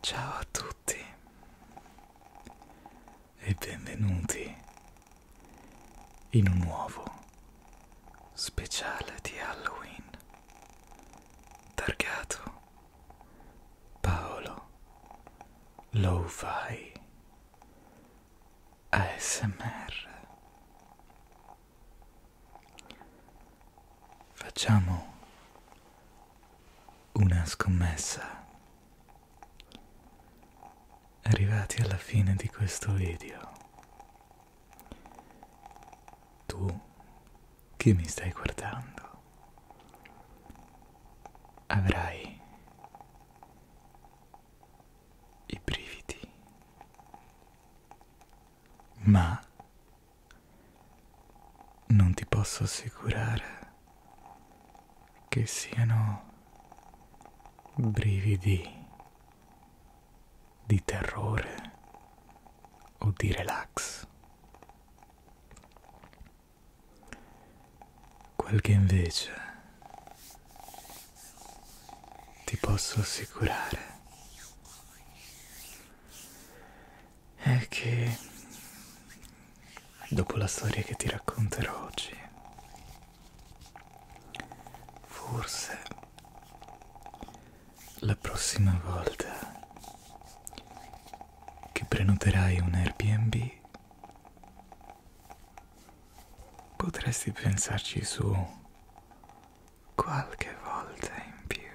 Ciao a tutti e benvenuti in un nuovo speciale di Halloween targato Paolo Lo-Fi. ASMR. Facciamo una scommessa. Arrivati alla fine di questo video, tu che mi stai guardando avrai i brividi, ma non ti posso assicurare che siano brividi di terrore o di relax. Quel che invece ti posso assicurare è che dopo la storia che ti racconterò oggi, forse la prossima volta che prenoterai un Airbnb Potresti pensarci su qualche volta in più.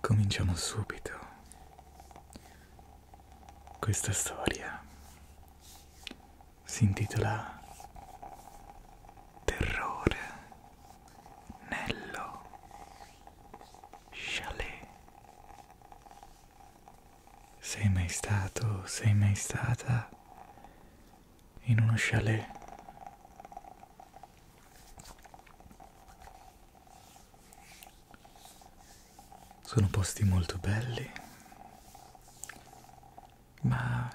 Cominciamo subito questa storia. Si intitola Terrore Nello Chalet. Sei mai stato, sei mai stata in uno chalet? Sono posti molto belli, ma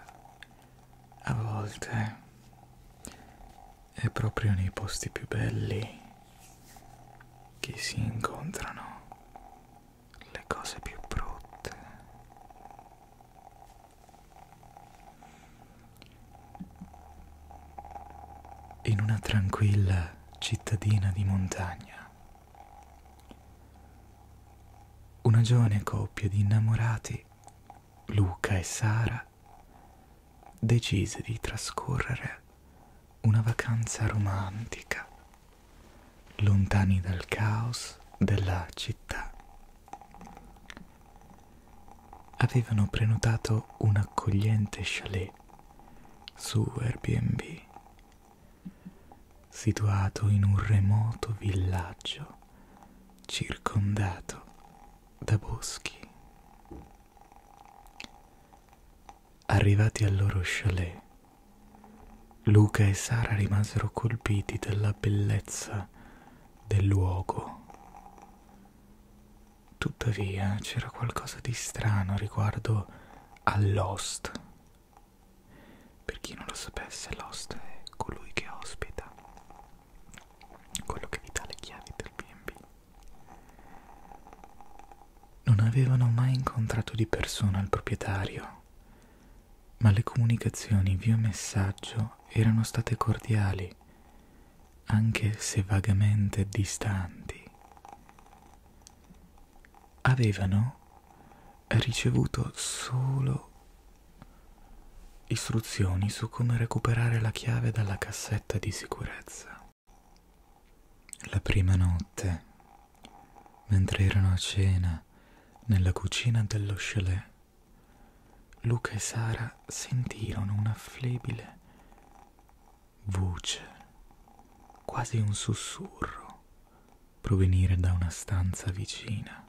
a volte è proprio nei posti più belli che si incontrano le cose più brutte. In una tranquilla cittadina di montagna, una giovane coppia di innamorati, Luca e Sara, decise di trascorrere una vacanza romantica, lontani dal caos della città. Avevano prenotato un accogliente chalet su Airbnb, situato in un remoto villaggio circondato da boschi Arrivati al loro chalet, Luca e Sara rimasero colpiti dalla bellezza del luogo. Tuttavia c'era qualcosa di strano riguardo a Lost. Per chi non lo sapesse, Lost è colui che ospita quello che vi dà le chiavi del BB. Non avevano mai incontrato di persona il proprietario, ma le comunicazioni via messaggio erano state cordiali, anche se vagamente distanti. Avevano ricevuto solo istruzioni su come recuperare la chiave dalla cassetta di sicurezza ragazza. La prima notte, mentre erano a cena nella cucina dello chalet, Luca e Sara sentirono una flebile voce, quasi un sussurro, provenire da una stanza vicina.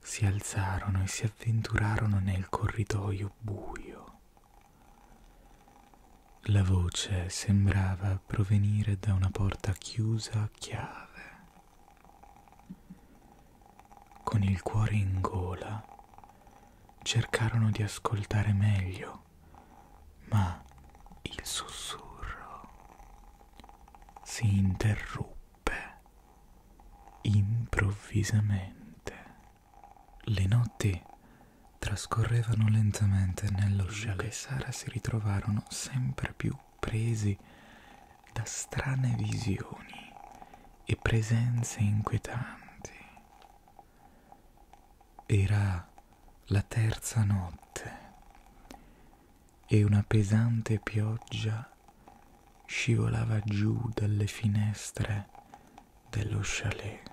Si alzarono e si avventurarono nel corridoio buio buio. La voce sembrava provenire da una porta chiusa a chiave. Con il cuore in gola cercarono di ascoltare meglio, ma il sussurro si interruppe improvvisamente. Le notti trascorrevano lentamente nello Luca e Sara si ritrovarono sempre più presi da strane visioni e presenze inquietanti. Era la terza notte e una pesante pioggia scivolava giù dalle finestre dello chalet,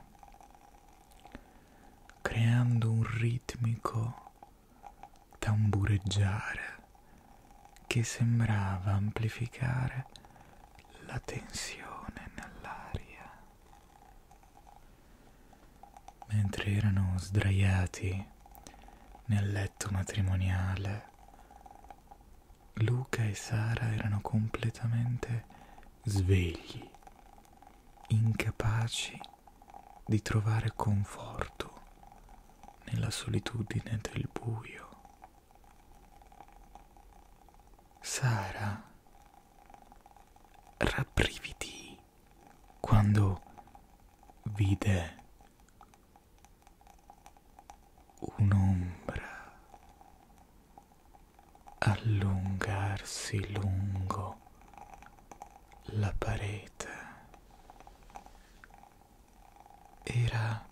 creando un ritmico tambureggiare che sembrava amplificare la tensione nell'aria. Mentre erano sdraiati nel letto matrimoniale, Luca e Sara erano completamente svegli, incapaci di trovare conforto nella solitudine del buio. Sara rabbrividì quando vide un'ombra allungarsi lungo la parete. Era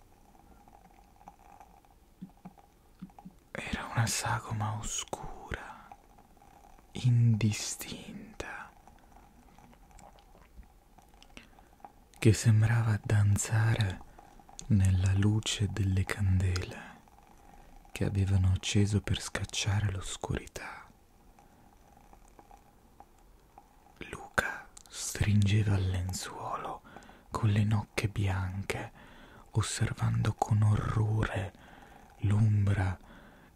era una sagoma oscura, indistinta che sembrava danzare nella luce delle candele che avevano acceso per scacciare l'oscurità. Luca stringeva il lenzuolo con le nocche bianche, osservando con orrore l'ombra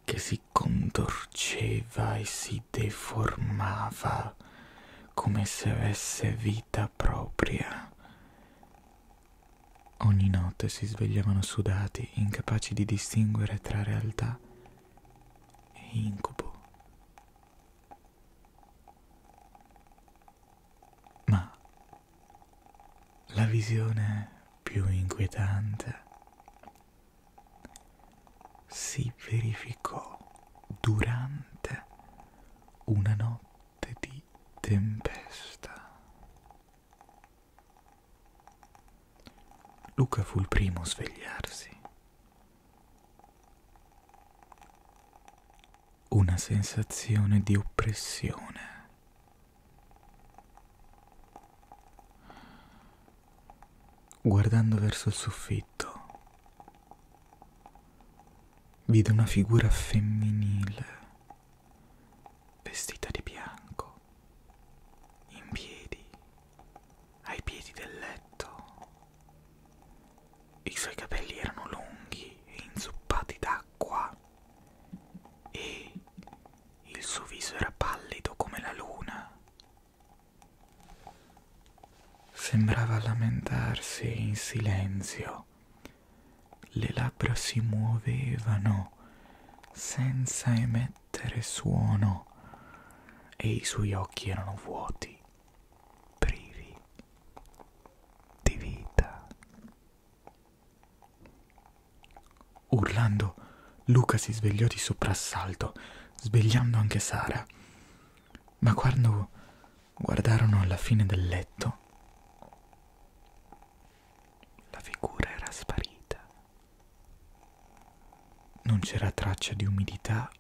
che si contorceva e si deformava come se avesse vita casa propria. Ogni notte si svegliavano sudati, incapaci di distinguere tra realtà e incubo. Ma la visione più inquietante si verificò durante una notte notte di tempesta. Luca fu il primo a svegliarsi. Una sensazione di oppressione. Guardando verso il soffitto, vide una figura femminile vestita di bianco, in piedi, ai piedi del letto. I suoi capelli erano lunghi e inzuppati d'acqua e il suo viso era pallido come la luna. Sembrava lamentarsi in silenzio le labbra si muovevano senza emettere suono e i suoi occhi erano vuoti, privi di vita. Urlando, Luca si svegliò di soprassalto, svegliando anche Sara ma quando guardarono alla fine del letto, la figura era sparita. Non c'era traccia di umidità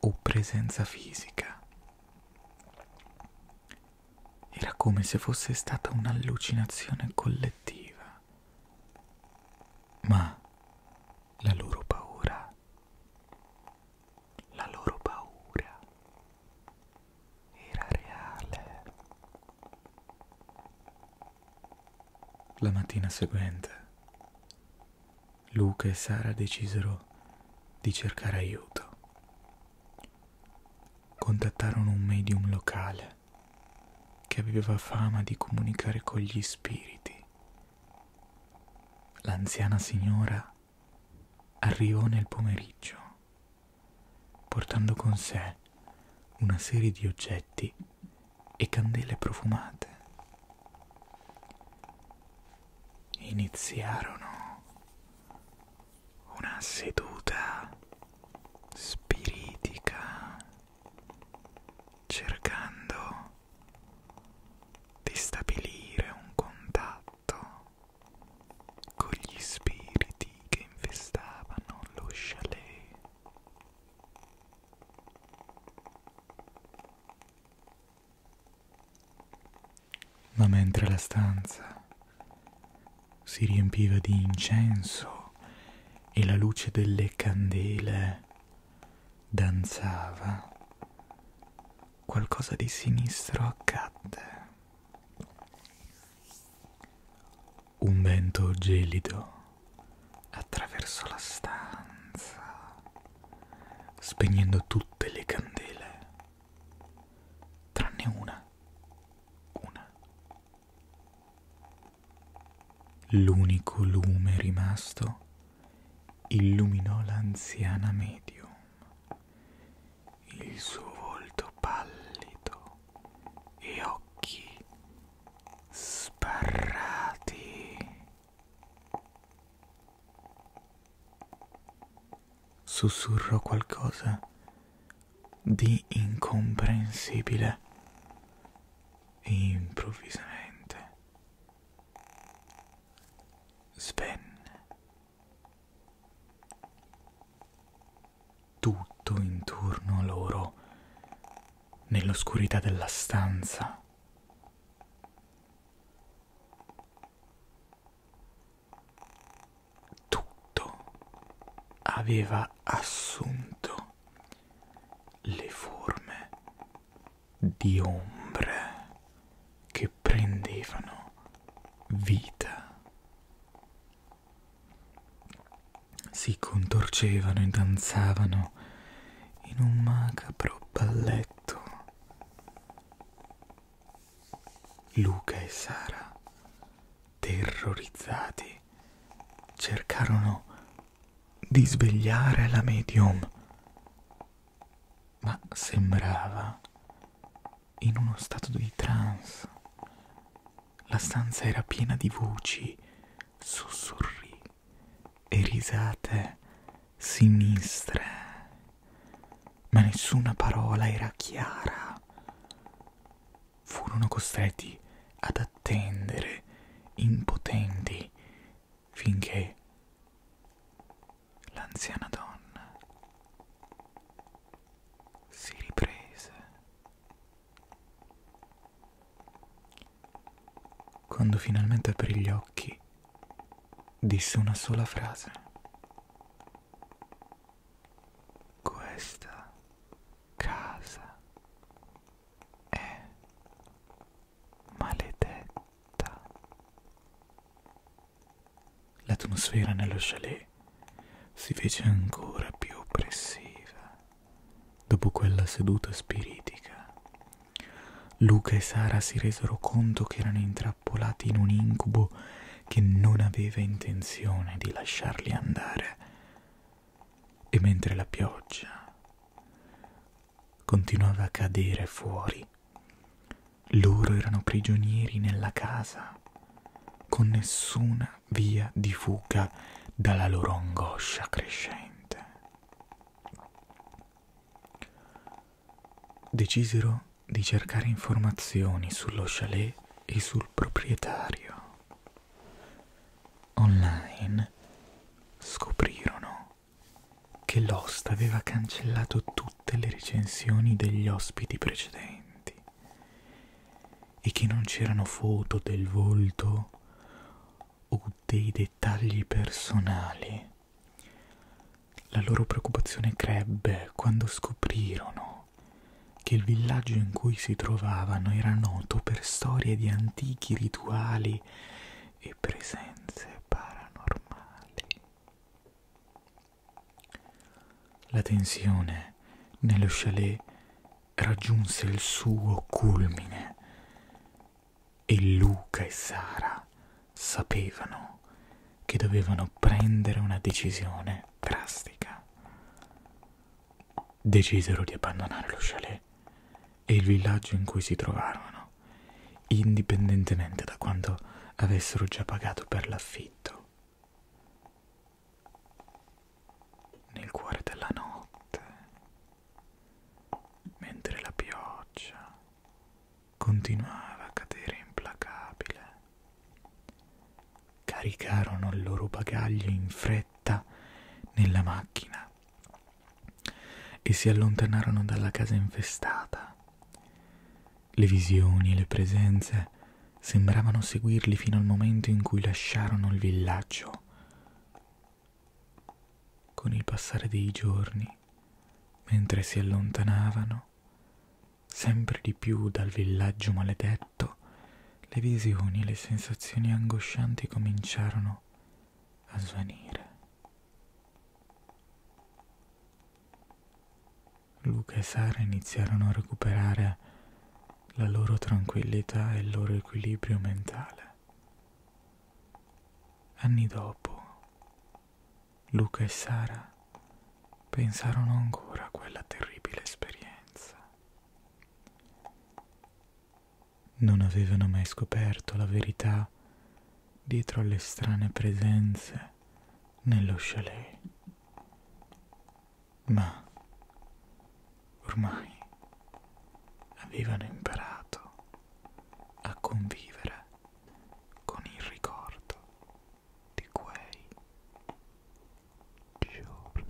o presenza fisica. Era come se fosse stata un'allucinazione collettiva. Ma la loro paura la loro paura era reale. La mattina seguente, Luca e Sara decisero di cercare aiuto. Contattarono un medium locale che aveva fama di comunicare con gli spiriti. L'anziana signora arrivò nel pomeriggio, portando con sé una serie di oggetti e candele profumate. Iniziarono una seduta spiritica cercando di stabilire un contatto con gli spiriti che infestavano lo chalet. Ma mentre la stanza si riempiva di incenso e la luce delle candele danzava, qualcosa di sinistro accadde. Un vento gelido attraversò la stanza, spegnendo tutte le candele, tranne una, una. L'unico lume rimasto illuminò l'anziana medium il suo volto pallido e occhi sbarrati. Sussurrò qualcosa di incomprensibile e improvvisamente svenne tutto intorno a loro, nell'oscurità della stanza, tutto aveva assunto le forme di ombre che che prendevano vita. Si contorcevano e danzavano in un macabro balletto. Luca e Sara, terrorizzati, cercarono di svegliare la medium, ma sembrava in uno stato di trance. La stanza era piena di voci, sussurri e risate sinistre, ma nessuna parola era chiara. Furono costretti ad attendere, impotenti, finché l'anziana donna si riprese. Quando finalmente aprì gli occhi, disse una sola frase. Questa casa è maledetta città. L'atmosfera nello chalet si fece ancora più oppressiva dopo quella seduta spiritica. Luca e Sara si resero conto che erano intrappolati in un incubo che non aveva intenzione di lasciarli andare. E mentre la pioggia continuava a cadere fuori, loro erano prigionieri nella casa, con nessuna via di fuga dalla loro angoscia crescente. Decisero di cercare informazioni sullo chalet e sul proprietario. Online scoprirono che Lost aveva cancellato tutte le recensioni degli ospiti precedenti e che non c'erano foto del volto o dei dettagli personali. La loro preoccupazione crebbe quando scoprirono che il villaggio in cui si trovavano era noto per storie di antichi rituali e presenze paranormali. La tensione nello chalet raggiunse il suo culmine e Luca e Sara sapevano che dovevano prendere una decisione drastica. Decisero di abbandonare lo chalet e il villaggio in cui si trovarono indipendentemente da quanto avessero già pagato per l'affitto. Nel cuore della notte, mentre la pioggia continuava a cadere implacabile, caricarono il loro bagaglio in fretta nella macchina e si allontanarono dalla casa infestata le visioni e le presenze sembravano seguirli fino al momento in cui lasciarono il villaggio. Con il passare dei giorni, mentre si allontanavano sempre di più dal villaggio maledetto, le visioni e le sensazioni angoscianti cominciarono a svanire. Luca e Sara iniziarono a recuperare la loro tranquillità e il loro equilibrio mentale. Anni dopo, Luca e Sara pensarono ancora a quella terribile esperienza. Non avevano mai scoperto la verità dietro alle strane presenze nello chalet. Ma ormai avevano imparato a convivere con il ricordo di quei giorni.